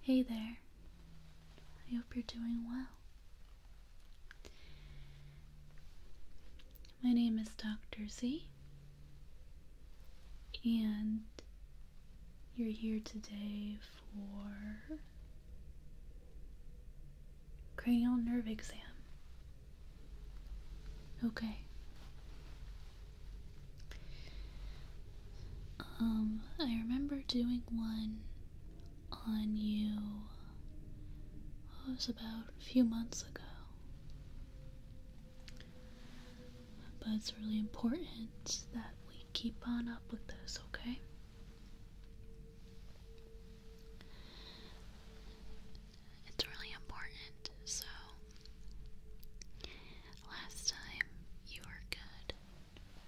Hey there. I hope you're doing well. My name is Dr. Z, and you're here today for cranial nerve exam. Okay. Um, I remember doing one on you. Oh, it was about a few months ago. But it's really important that we keep on up with this, okay? It's really important, so Last time you were good.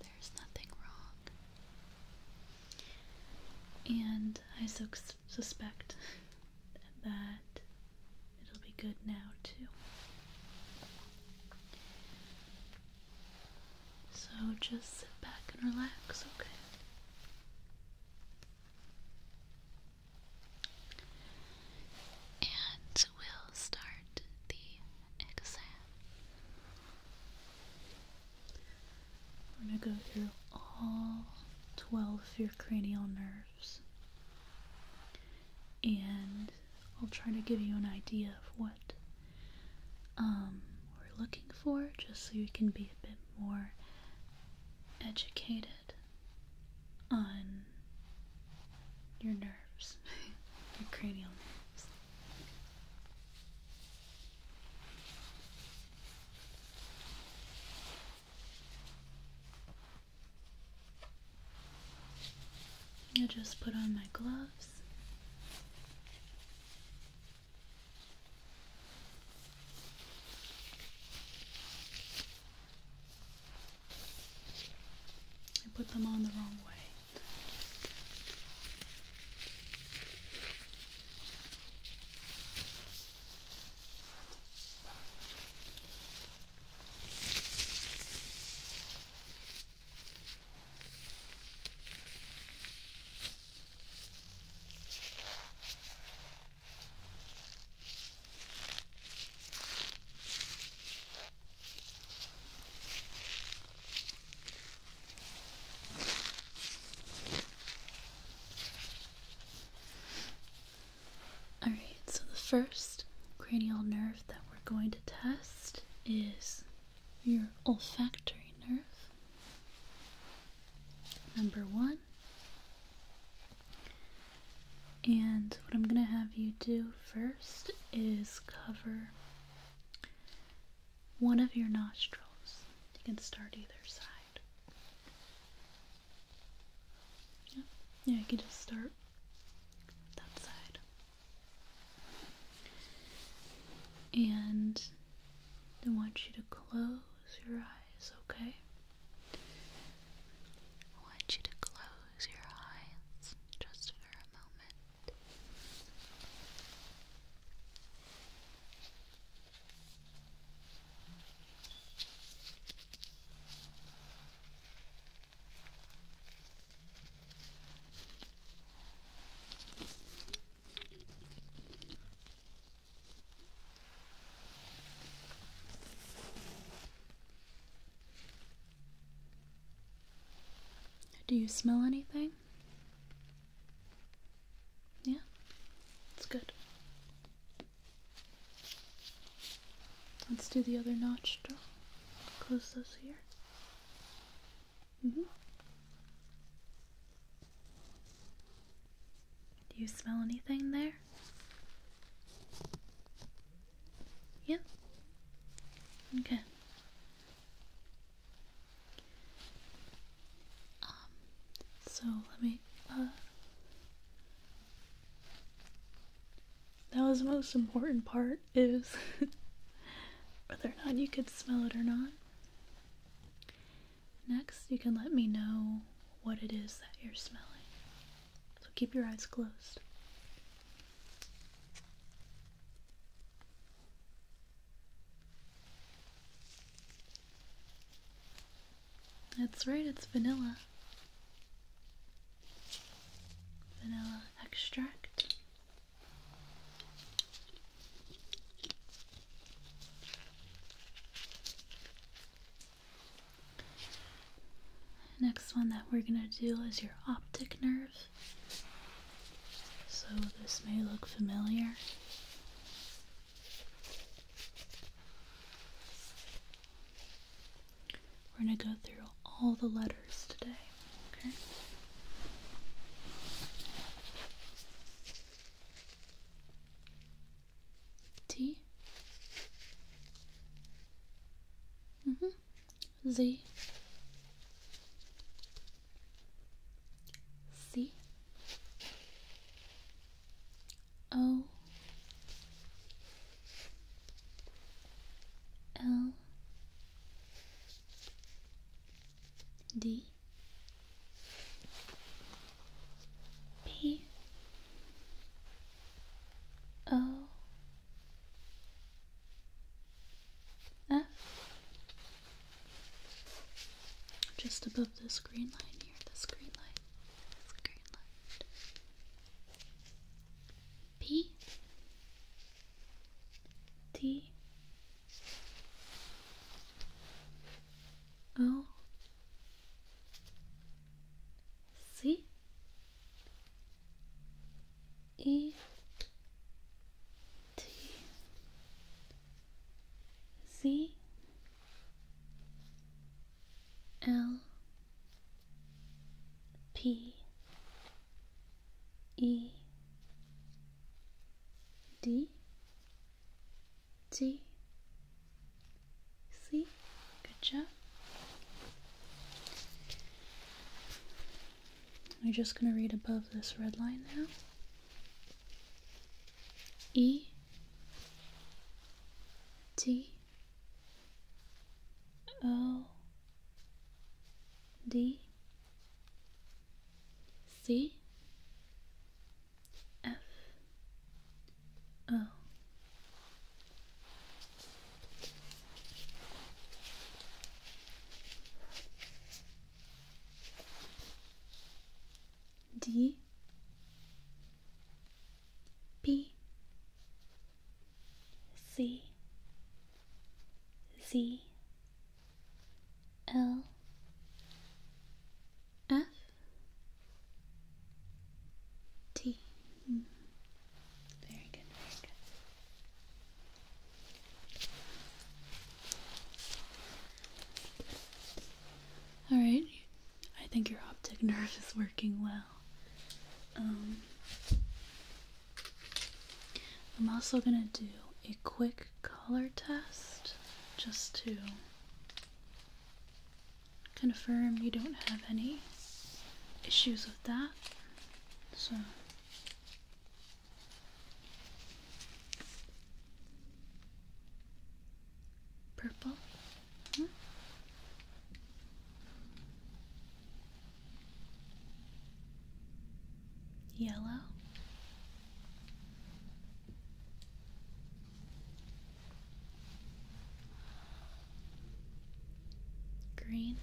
There's nothing wrong. And I su suspect that it'll be good now, too. So just sit back and relax, okay? And we'll start the exam. We're going to go through all 12 of your cranial nerves. And I'll try to give you an idea of what um, we're looking for, just so you can be a bit more educated on your nerves, your cranial nerves. I just put on my gloves. I put them on the wrong way. All right, so the first cranial nerve that we're going to test is your olfactory nerve. Number one. And what I'm going to have you do first is cover one of your nostrils. You can start either side. Yeah, yeah you can just start that side. And I want you to close your eyes, okay? I want you to close your eyes just for a moment. Do you smell anything? Yeah, it's good. Let's do the other nostril. Close those here. hmm. Do you smell anything there? Yeah? Okay. Um, so let me, uh, that was the most important part is whether or not you could smell it or not. Next, you can let me know what it is that you're smelling. So keep your eyes closed. That's right, it's vanilla. Vanilla extract. Next one that we're going to do is your optic nerve. So this may look familiar. We're going to go through all the letters today, okay? T -hmm. Z C O L D P O F just above this green line here, this green line, this green line. P T O C E T Z L P E D G. C. Good job. We're just going to read above this red line now. E. T. O. D. C. F O D P C Z L F T. Very good, very good. All right, I think your optic nerve is working well. Um, I'm also gonna do a quick color test just to confirm you don't have any issues with that. So purple. Hmm? Yellow green.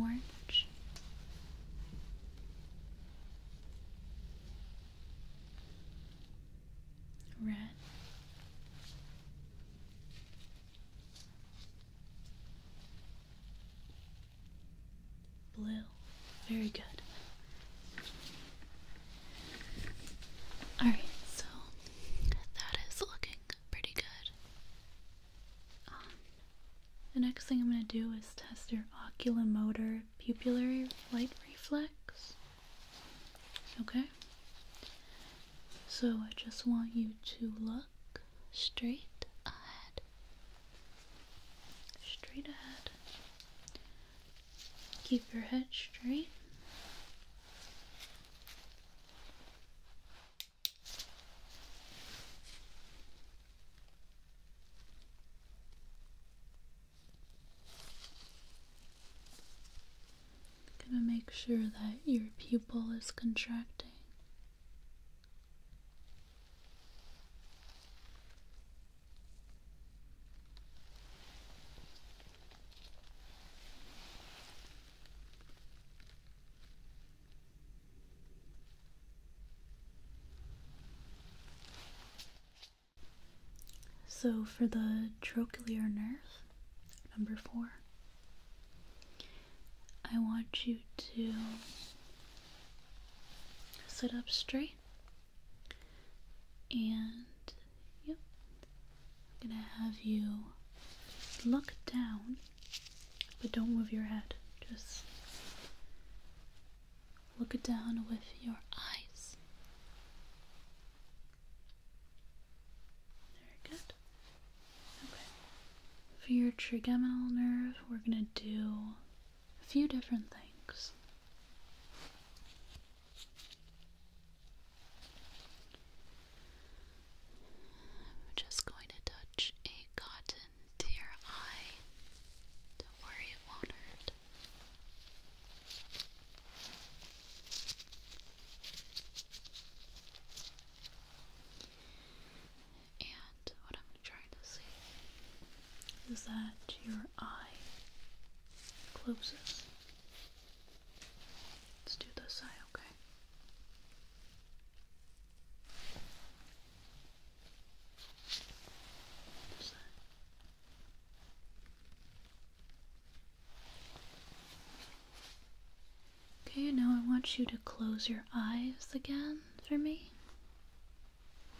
Orange, red, Blue. Very good. Alright, so that is looking pretty good. Um, the next thing I'm going to do is test your oculomotor pupillary light reflex. Okay? So I just want you to look straight ahead. Straight ahead. Keep your head straight. I'm gonna make sure that your pupil is contracting. So for the trochlear nerve, number four, I want you to sit up straight and yep, I'm gonna have you look down, but don't move your head, just look down with your eyes. Very good. Okay. For your trigeminal nerve, we're going to do a few different things. I'm just going to touch a cotton to your eye. Don't worry, it won't hurt. And what I'm trying to see is that your eye closes. Let's do this eye, okay? Okay, now I want you to close your eyes again for me.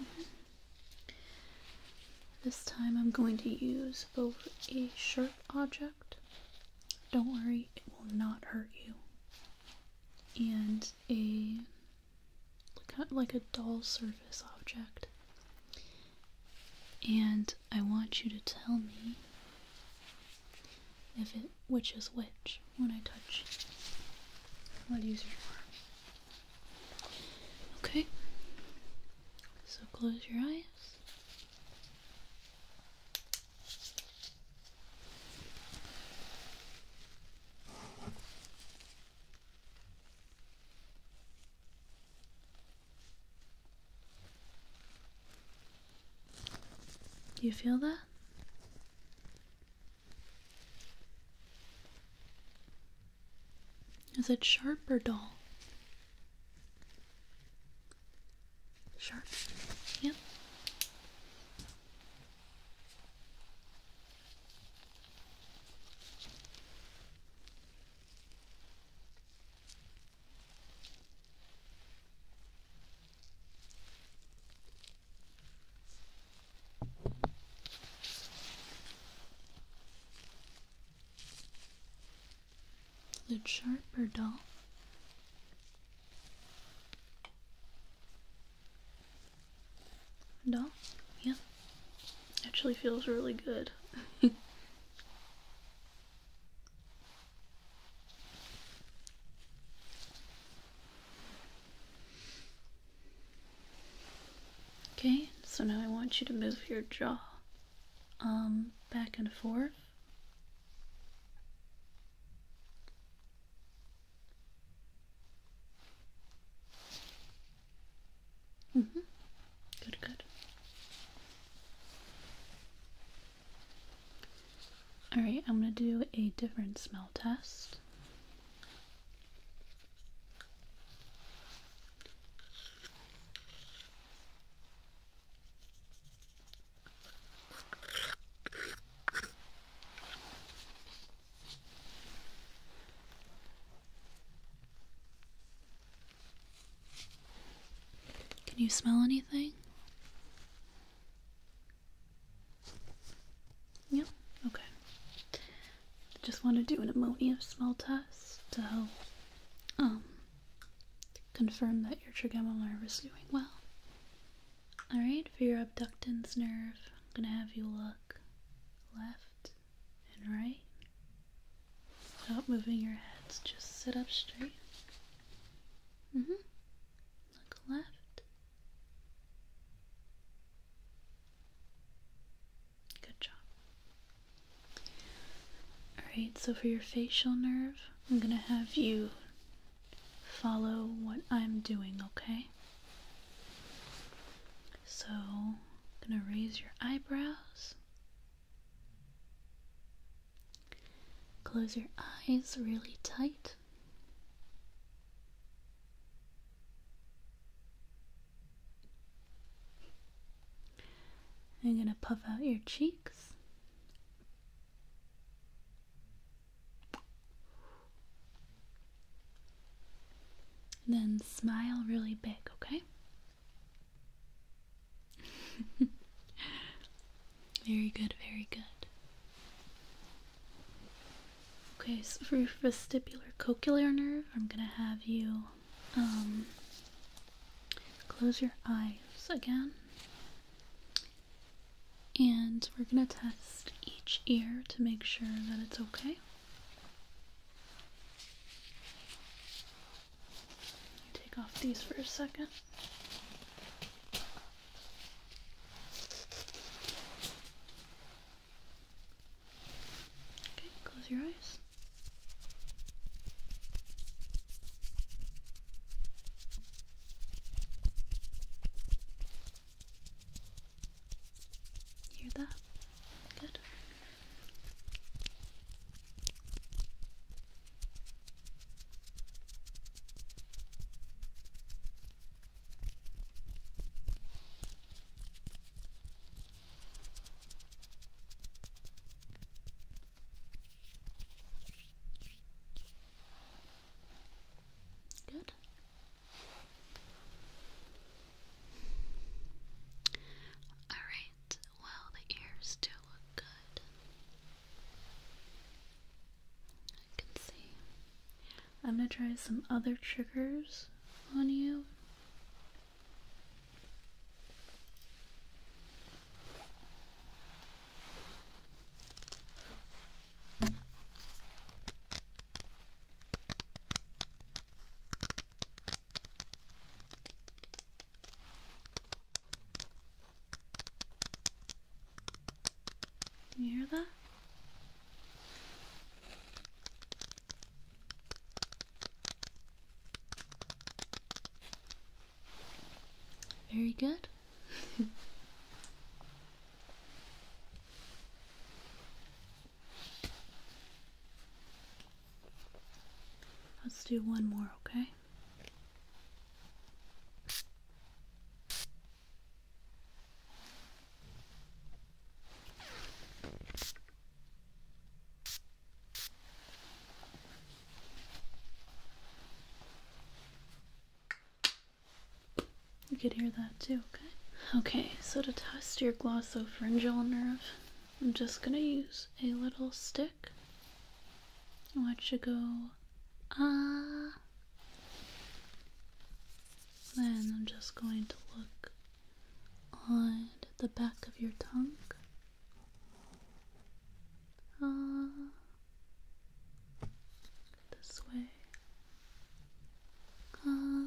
Mm-hmm. This time I'm going to use both a sharp object, don't worry, it will not hurt you, and a like a, like a dull surface object. And I want you to tell me if it which is which when I touch. What use you? arm? Okay. So close your eyes. Do you feel that? Is it sharp or dull? Sharp. Yep. The it sharp or dull? Dull? Yeah. Actually feels really good. okay, so now I want you to move your jaw um back and forth. Mm-hmm. Good, good. Alright, I'm gonna do a different smell test. Can you smell anything? Yep, yeah? okay. Just want to do an ammonia smell test to um, confirm that your trigeminal nerve is doing well. Alright, for your abductance nerve, I'm going to have you look left and right. Without moving your heads, just sit up straight. Mm-hmm. Look left. Good job. Alright, so for your facial nerve, I'm gonna have you follow what I'm doing, okay? So, I'm going to raise your eyebrows. Close your eyes really tight. I'm going to puff out your cheeks. Then smile really big, okay? very good, very good. Okay, so for vestibular cochlear nerve, I'm gonna have you um, close your eyes again. And we're gonna test each ear to make sure that it's okay. Take off these for a second. Okay, close your eyes. Hear that? Good. Good. Alright, well, the ears do look good. I can see. I'm gonna try some other triggers on you you hear that? Very good. Let's do one more, okay? You could hear that too, okay? Okay, so to test your glossopharyngeal nerve, I'm just gonna use a little stick. I want you go ah. Then I'm just going to look on the back of your tongue. Ah. This way. Uh,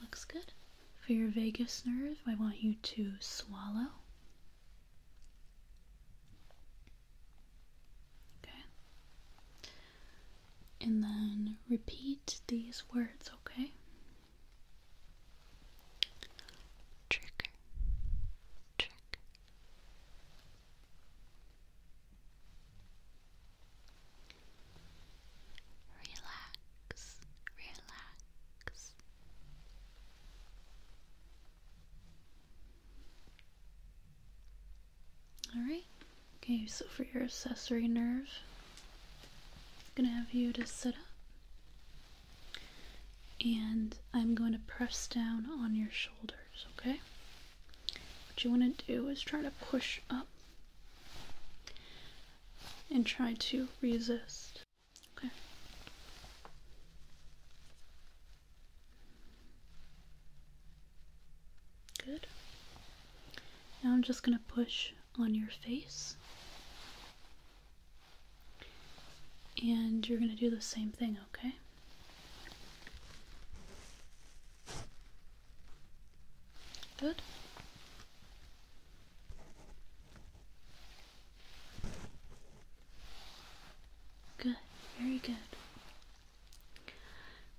looks good. For your vagus nerve, I want you to swallow. Okay. And then repeat these words, okay? Trigger, trigger, Relax, relax. Alright, okay, so for your accessory nerve, I'm gonna have you to sit up and I'm going to press down on your shoulder okay? What you want to do is try to push up and try to resist, okay? Good. Now I'm just going to push on your face. And you're going to do the same thing, okay? Good. Good, very good.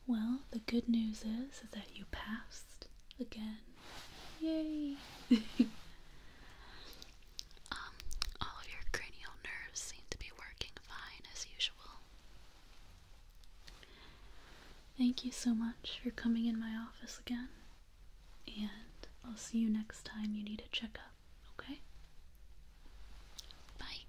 Well, the good news is, is that you passed again. Yay! Um, all of your cranial nerves seem to be working fine as usual. Thank you so much for coming in my office again, and I'll see you next time you need a checkup, okay? Bye.